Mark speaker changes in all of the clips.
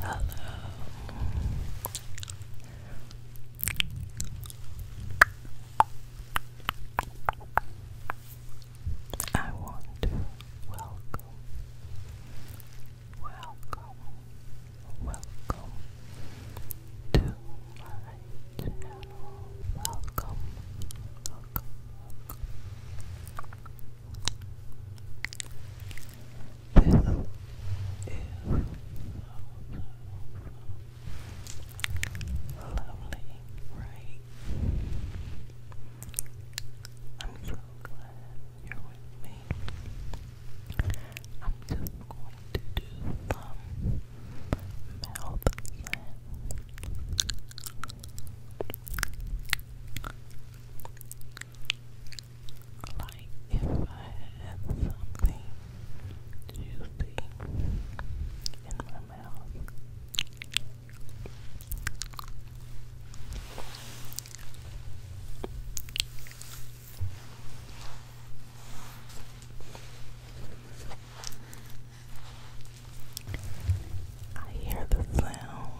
Speaker 1: Hello. I want to welcome, welcome, welcome to my channel. Welcome, welcome, this lovely, right? I'm so glad you're with me. I'm just going to do some mouth like if I had something juicy in my mouth. I hear the sound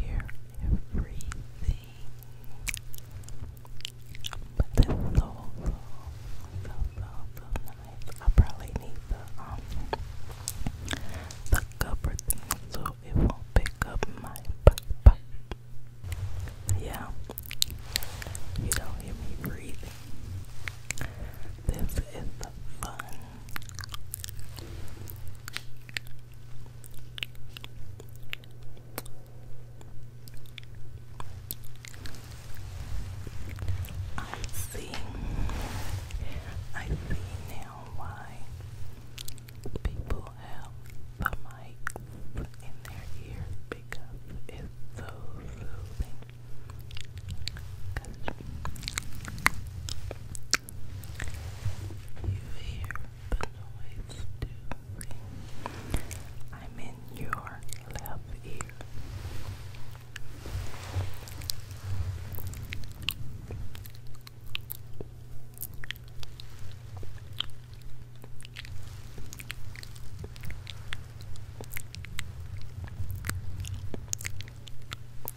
Speaker 1: hear everything. But this is so, so, so, so, so I probably need the, the cover so it won't pick up my Yeah, you don't hear me breathing. This is the fun I see. I see now why people have the mics in their ears because it's so soothing. You hear the noise too. I'm in your left ear. And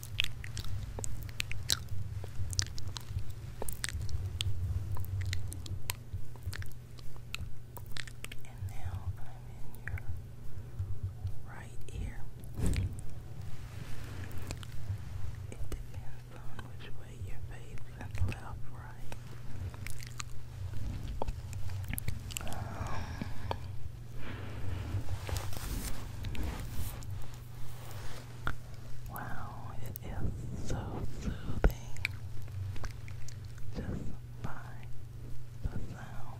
Speaker 1: now I'm in your right ear. It depends on which way your face is left, right. Um, Wow, it is so soothing. Just by the sound.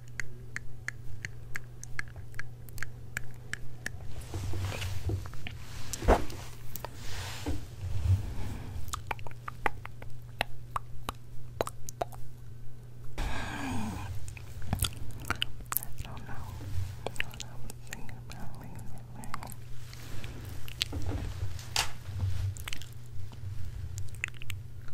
Speaker 1: I don't know what I was thinking about leaving it there.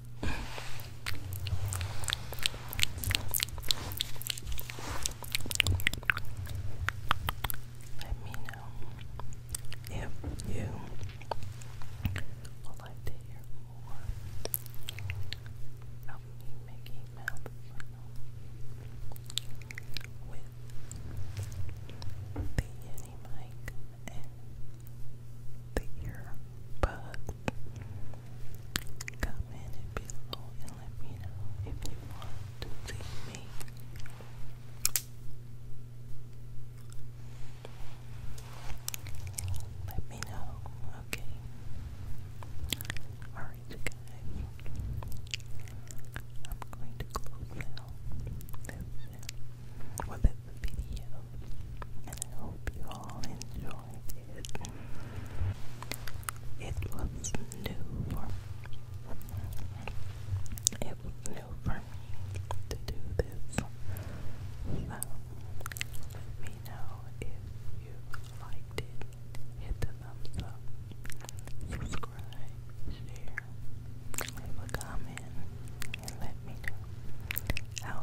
Speaker 1: Let me know if you would like to hear more of me making with the Yeti the ear bud. Comment below and let me know if you want to see me. Let me know, okay? Alright, guys. I'm going to close out this, well, this video and I hope you all enjoyed it. It was new for it was new for me to do this. So let me know if you liked it. Hit the thumbs up, subscribe, share, leave a comment, and let me know How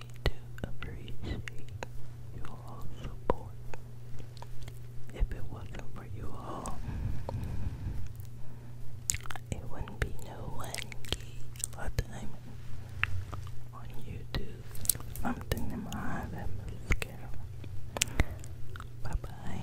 Speaker 1: to appreciate you all's support. If it wasn't for you all, it wouldn't be no one key all time on YouTube. Something in my eye that Bye bye.